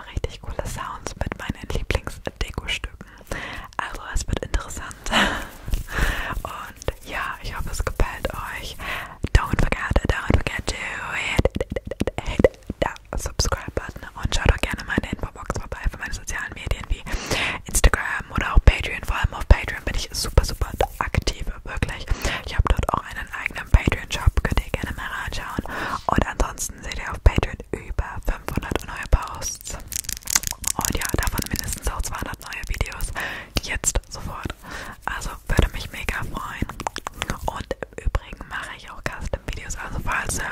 paar richtig coole Sounds mit meinen Lieblingsdeko-Stücken. Also es wird interessant. Und ja, ich hoffe es gefällt euch. Don't forget, don't forget to hit, hit, hit the subscribe button und schaut auch gerne meine Infobox vorbei für meine sozialen Medien wie Instagram oder auch Patreon. Vor allem auf Patreon bin ich super, super aktiv, wirklich. Ich habe dort auch einen eigenen Patreon-Shop, könnt ihr gerne mal reinschauen. Und ansonsten seht ihr auf Patreon über 500 neue Posts. Und ja, davon mindestens auch 200 neue Videos. Jetzt sofort. Also würde mich mega freuen. Und im Übrigen mache ich auch Custom-Videos. Also falls du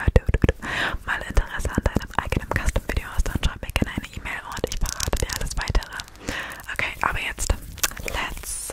mal Interesse an deinem eigenen Custom-Video hast, dann schreib mir gerne eine E-Mail und ich verrate dir alles weitere. Okay, aber jetzt, let's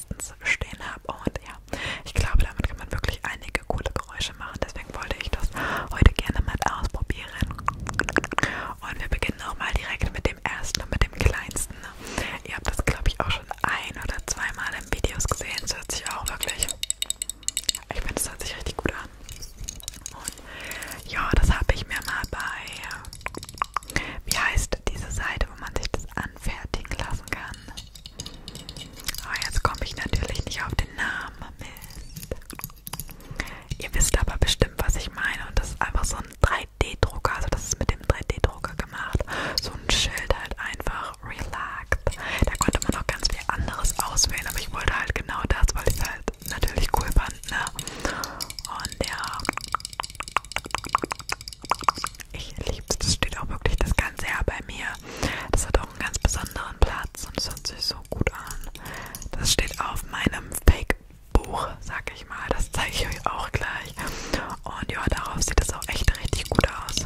meistens stehen habe. Und ja, ich glaube, damit kann man wirklich einige coole Geräusche machen. Deswegen wollte ich das heute gerne mal ausprobieren. Und wir beginnen auch mal direkt mit dem ersten und mit dem kleinsten. Ihr habt das, glaube ich, auch schon ein oder zweimal in Videos gesehen. Das hört sich auch wirklich. Ich finde, das hört sich richtig gut an. Und ja, das habe ich mir mal bei. Wie heißt diese Seite, wo man sich das anfertigen lassen kann? Oh, jetzt komme ich natürlich nicht auf den Namen. Mist. Ihr wisst aber bestimmt, was ich meine. Und das ist einfach so ein 3D-Drucker. Also das ist mit dem 3D-Drucker gemacht. So ein Schild halt einfach. Relaxed. Da konnte man noch ganz viel anderes auswählen. Aber ich wollte halt genau das, weil ich es halt natürlich cool fand. Ne? Und ja. Ich lieb's, das steht auch wirklich das ganze Jahr bei mir. Das hat auch einen ganz besonderen Platz und es hört sich so gut an. Das steht auf meinem Fake-Buch, sag ich mal. Das zeige ich euch auch gleich. Und ja, darauf sieht es auch echt richtig gut aus.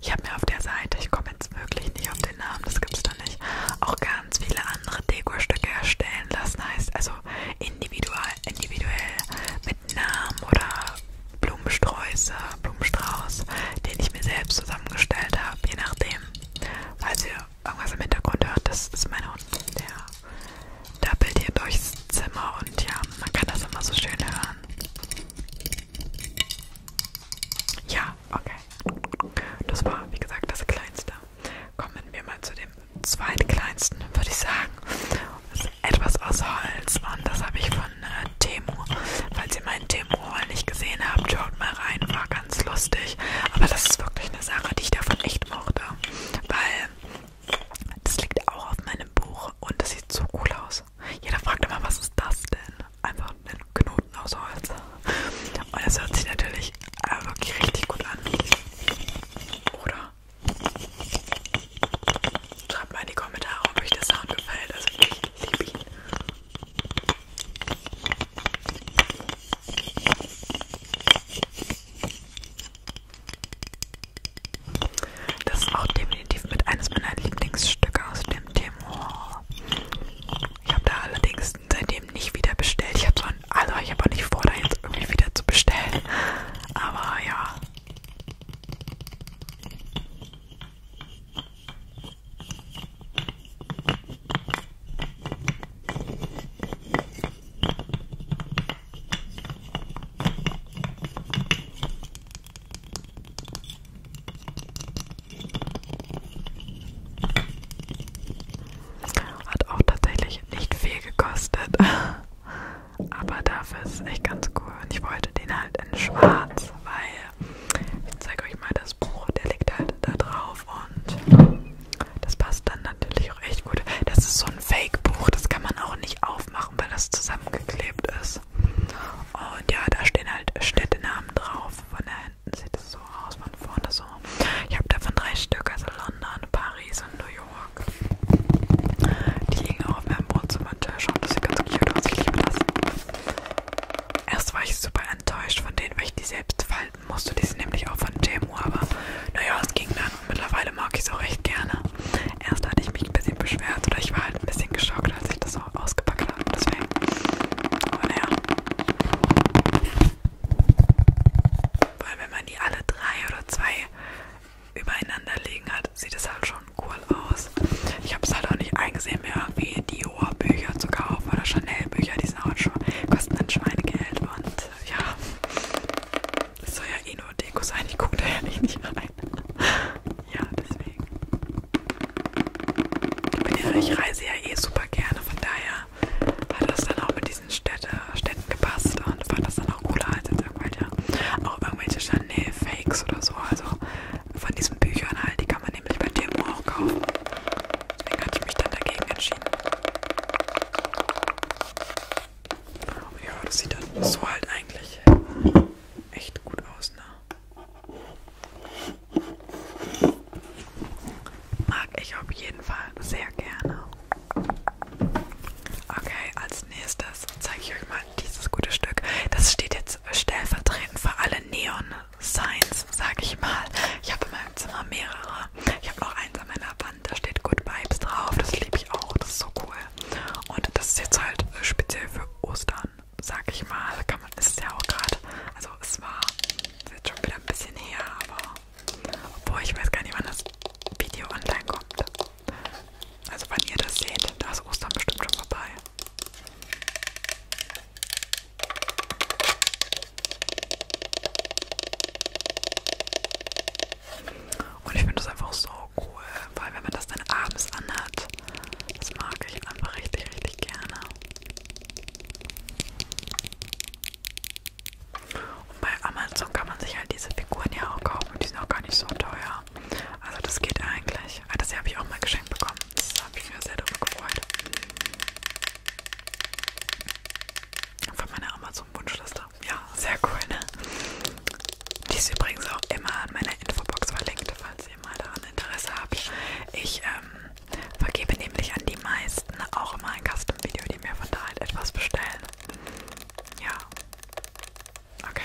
Ich habe mir auf der Seite, ich komme jetzt wirklich nicht auf den Namen, das gibt's da nicht, auch ganz viele andere Dekostücke erstellen lassen. Heißt, also individual, individuell mit Namen oder Blumensträuße, Blumenstrauß, den ich mir selbst zusammengestellt habe, je nachdem. Falls ihr irgendwas im Hintergrund hört, das ist mein Hund, der dappelt hier durchs Zimmer und ja, man kann das immer so schön hören. Ja, okay. Das war, wie gesagt, das Kleinste. Kommen wir mal zu dem zweitkleinsten, würde ich sagen. Das ist etwas aus Holz und das habe ich von äh, Temo. Falls ihr meinen Temo-Roll nicht gesehen habt, schaut mal rein, war ganz lustig. Aber das ist wirklich eine Sache, die ich davon echt mochte, weil das liegt auch auf meinem Buch und das sieht so cool aus. Jeder fragt immer, was ist das denn? Einfach einen Knoten aus Holz. Und das hört sich natürlich äh, wirklich richtig gut an. Oder? Schreibt mal in die Kommentare, ob euch der Sound gefällt. Also ich liebe ihn. Das ist auch definitiv mit eines meiner Lieblingsstücke aus dem Thema. Ich habe da allerdings seitdem nicht wieder bestellt. Ich habe zwar also ich habe auch nicht vor, da jetzt irgendwie wieder zu bestellen. Aber ja. Hat auch tatsächlich nicht viel gekostet. Aber dafür ist es echt ganz cool. Und ich wollte den halt in schwarz, weil ich zeige euch mal das Buch, der liegt halt da drauf und das passt dann natürlich auch echt gut. Das ist so ein Fake-Buch, das kann man auch nicht aufmachen, weil das zusammengeklebt ist. Und ja, da stehen halt Städtenamen drauf. Von da hinten sieht es so aus, von vorne das so. Also, ich habe davon drei Stück, also London, Paris und New York. Die liegen auch auf meinem Wohnzimmertisch und das sieht ganz cute aus. Ich liebe das. Erst war ich super enttäuscht von denen, weil ich die selbst falten musste. Die sind nämlich auch von Temu, aber naja, es ging dann. Und mittlerweile mag ich es auch recht gerne. Erst hatte ich mich ein bisschen beschwert oder ich war halt ein bisschen geschockt, als ich das auch ausgepackt habe. Deswegen. Aber naja. Vor allem, wenn man die alle drei oder zwei übereinander liegen hat, sieht es halt schon cool aus. Ich habe es halt auch nicht eingesehen, mir irgendwie Dior-Bücher zu kaufen oder Chanel-Bücher, die sind auch schon, kosten dann Schweinegeld und ja, das soll ja eh nur Deko sein, ich gucke da ja nicht rein. Ja, deswegen. Ich, bin ja, ich reise ja eh super gerne, von daher hat das dann auch mit diesen Städte, Städten gepasst und fand das dann auch cooler als jetzt irgendwelche, auch irgendwelche Chanel-Fakes oder so. Also von diesen Büchern halt, die kann man nämlich bei Timo auch kaufen. Deswegen hatte ich mich dann dagegen entschieden. Ja, das sieht dann so halt eigentlich echt gut aus, ne? Mag ich auf jeden Fall sehr gerne. Okay, als nächstes zeige ich euch mal dieses gute Stück. Das steht jetzt stellvertretend für alle Neon-Signs, sage ich mal. Ich habe in meinem Zimmer mehrere. Ich habe noch eins an meiner Wand, da steht Good Vibes drauf. Das liebe ich auch, das ist so cool. Und das ist jetzt halt speziell für Ostern, sag ich mal. Kann man, ist ja auch gerade, also also es war jetzt schon wieder ein bisschen her, aber obwohl ich weiß gar nicht, wann das Video online kommt. Also wann ihr das seht, da ist Ostern bestimmt schon vorbei. Und ich finde das einfach so cool, weil wenn man das dann abends anhat, das mag ich einfach richtig, richtig gerne. Und bei Amazon kann man sich halt diese Figuren ja auch kaufen. Die sind auch gar nicht so teuer. Also das geht eigentlich. Ah, das hier habe ich auch mal geschenkt bekommen. Das habe ich mir sehr darüber gefreut. Von meiner Amazon-Wunschliste. Ja, sehr cool, ne? Die ist übrigens auch immer an meiner Infobox verlinkt, falls ihr mal daran Interesse habt. Ich ähm, Vergebe nämlich an die meisten auch immer ein Custom-Video, die mir von da halt etwas bestellen. Ja. Okay.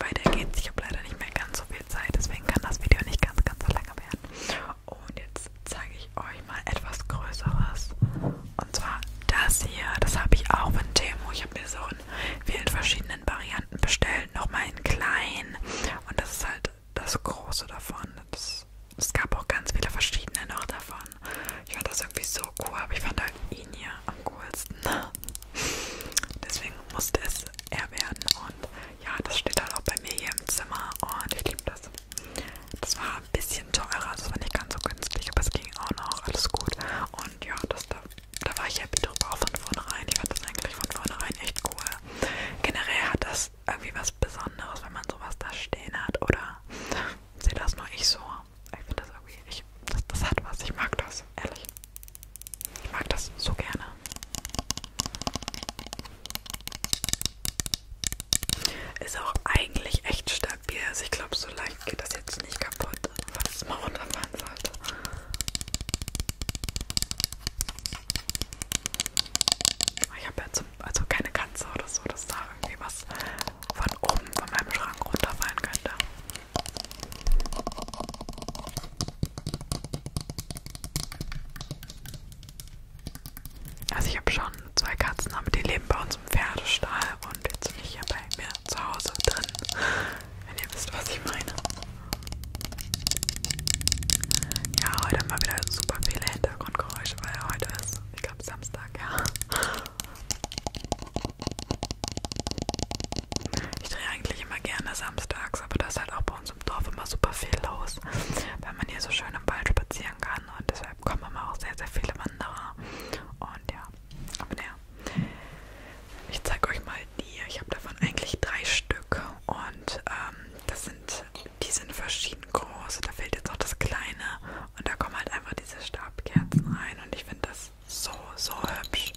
Weiter geht's. Ich habe leider nicht mehr ganz so viel Zeit, deswegen kann das Video nicht ganz, ganz so lange werden. Und jetzt zeige ich euch mal etwas Größeres. Und zwar das hier. Das habe ich auch von Temo. Ich habe mir so in vielen verschiedenen Varianten bestellt. Nochmal in klein. Und das ist halt das große davon. Das, es gab auch ganz viele verschiedene noch davon. Ich fand das irgendwie so cool, aber ich fand halt ihn hier am coolsten. Deswegen musste es er werden. Und ja, das steht halt auch bei mir hier im Zimmer und ich liebe das. Das war ein bisschen teurer, das war nicht ganz so günstig, aber es ging auch noch, alles gut. Und ja, das da da war ich happy drüber auch von vornherein. Ich fand das eigentlich von vornherein echt cool. Generell hat das irgendwie was Besonderes, wenn man sowas da stehen hat, oder? Sehe das nur ich so. Ich finde das irgendwie, ich, das, das hat was. Ich mag das, ehrlich. Ich mag das so gerne. Ist auch eigentlich echt stabil. Also ich glaube, so leicht geht das jetzt nicht kaputt, weil es mal runterfallen sollte. Ich habe ja zum, also keine Katze oder so, dass da irgendwie was von oben von meinem Schrank runterfallen könnte. Also ich habe schon zwei Katzen, aber die leben bei uns im Pferdestall und jetzt nicht hier bei mir zu Hause drin wenn ihr wisst, was ich meine. Ja, heute mal wieder super viele Hintergrundgeräusche, weil heute ist, ich glaube, Samstag, ja. Ich drehe eigentlich immer gerne samstags, aber da ist halt auch bei uns im Dorf immer super viel los, weil man hier so schön im Wald spazieren kann und deshalb kommen immer auch sehr, sehr viele Wanderer. Und ja, aber naja. Ich zeige euch mal die. Ich habe davon eigentlich drei Stück und ähm, das sind, die sind verschieden groß. Da fehlt jetzt auch das kleine und da kommen halt einfach diese Stabkerzen rein und ich finde das so, so hübsch.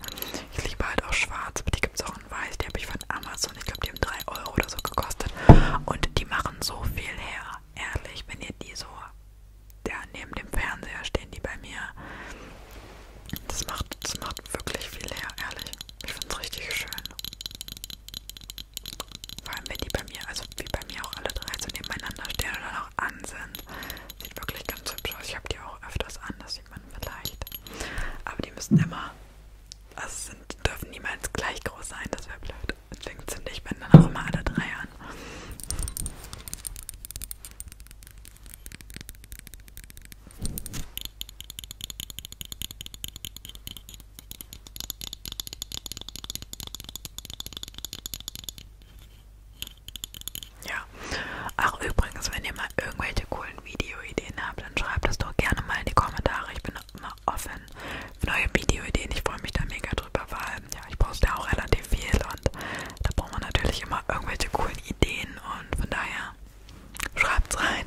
Ich liebe halt auch schwarz, aber die gibt es auch in weiß. Die habe ich von Amazon. Ich glaube, die haben 3 Euro oder so gekostet und die machen so viel her. Ehrlich, wenn ihr die so ja, neben dem Fernseher stehen die bei mir das macht, das macht wirklich viel her, ehrlich. Ich find's richtig schön. Vor allem, wenn die bei mir, also wie bei mir auch alle drei so nebeneinander stehen oder noch an sind. Sieht wirklich ganz hübsch aus. Ich habe die auch öfters an, das sieht man vielleicht. Aber die müssen immer, also sind, dürfen niemals gleich groß sein, das wäre blöd. Deswegen zünde ich mir dann auch immer alle drei an. Ja, auch übrigens, wenn ihr mal irgendwelche coolen Videoideen habt, dann schreibt das doch gerne mal in die Kommentare. Ich bin immer offen für neue Videoideen. Ich freue mich da mega drüber, weil ja, ich poste auch relativ viel und da braucht man natürlich immer irgendwelche coolen Ideen und von daher schreibt's rein.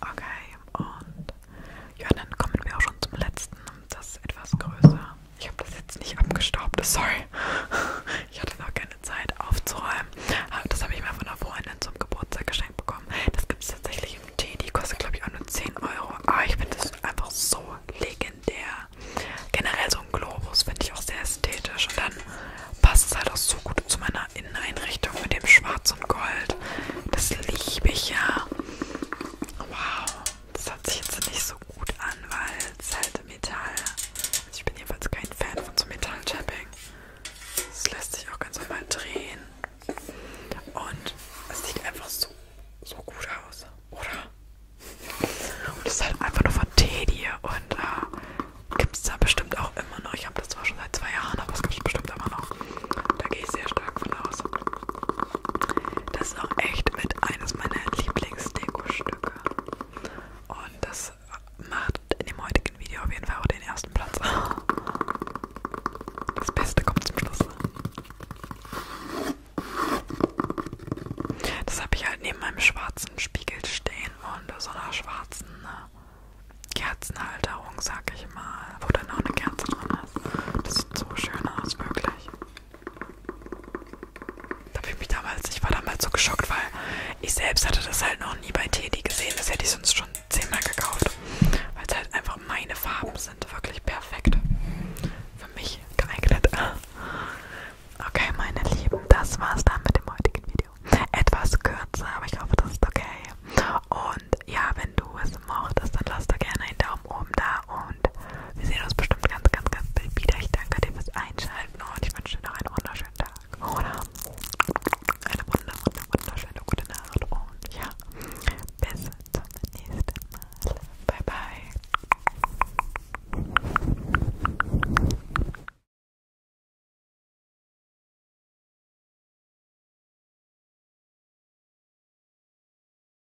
Okay, und ja, dann kommen wir auch schon zum letzten. Das ist etwas größer. Ich habe das jetzt nicht abgestaubt, sorry. Ich hatte noch keine Zeit aufzuräumen. Aber das habe ich mir von einer Freundin zum Geburtstag geschenkt bekommen. Das gibt es tatsächlich im Tee. Die kostet, glaube ich, auch nur 10 Euro. Aber ah, ich finde das einfach so legendär. Generell so ein Globus finde ich auch sehr ästhetisch. Und dann passt es halt auch so gut zu meiner Inneneinrichtung mit dem Schwarz und Gold. Das liebe ich ja. Wow. Das hört sich jetzt nicht so gut an, weil es halt Metall. Also ich bin jedenfalls kein Fan von so Metall-Tapping. Es lässt sich auch ganz normal drehen. Und es sieht einfach so, so gut aus, oder? Und es ist halt einfach nur von Teddy und äh, gibt es da bestimmt auch immer noch. Ich habe das zwar schon seit zwei Jahren, aber es gibt es bestimmt immer noch. Da gehe ich sehr stark von aus. Das ist auch echt mit eines meiner Lieblingsdeko-Stücke. Und das macht in dem heutigen Video auf jeden Fall auch den ersten Platz. Das Beste kommt zum Schluss. Das habe ich halt neben meinem schwarzen Spiegel stehen und so einer schwarzen äh, Kerzenhalterung, sag ich mal, wo dann auch eine Kerze drin ist. Das sieht so schön aus, wirklich. Da habe ich mich damals, ich war damals so geschockt, weil ich selbst hatte das halt noch nie bei Teddy gesehen. Das hätte ich sonst schon zehnmal gekauft. Weil es halt einfach meine Farben sind. Wirklich perfekt. Für mich geeignet. Okay, meine Lieben, das war's dann mit dem heutigen Video. Etwas kürzer, aber ich hoffe, das ist okay. Und ja, wenn du es mochtest, dann lass da gerne einen Daumen oben da und wir sehen uns bestimmt ganz, ganz, ganz bald wieder. Ich danke dir fürs Einschalten und ich wünsche dir noch einen wunderschönen Tag oder eine wunder, wunder, wunderschöne gute Nacht und ja, bis zum nächsten Mal. Bye, bye.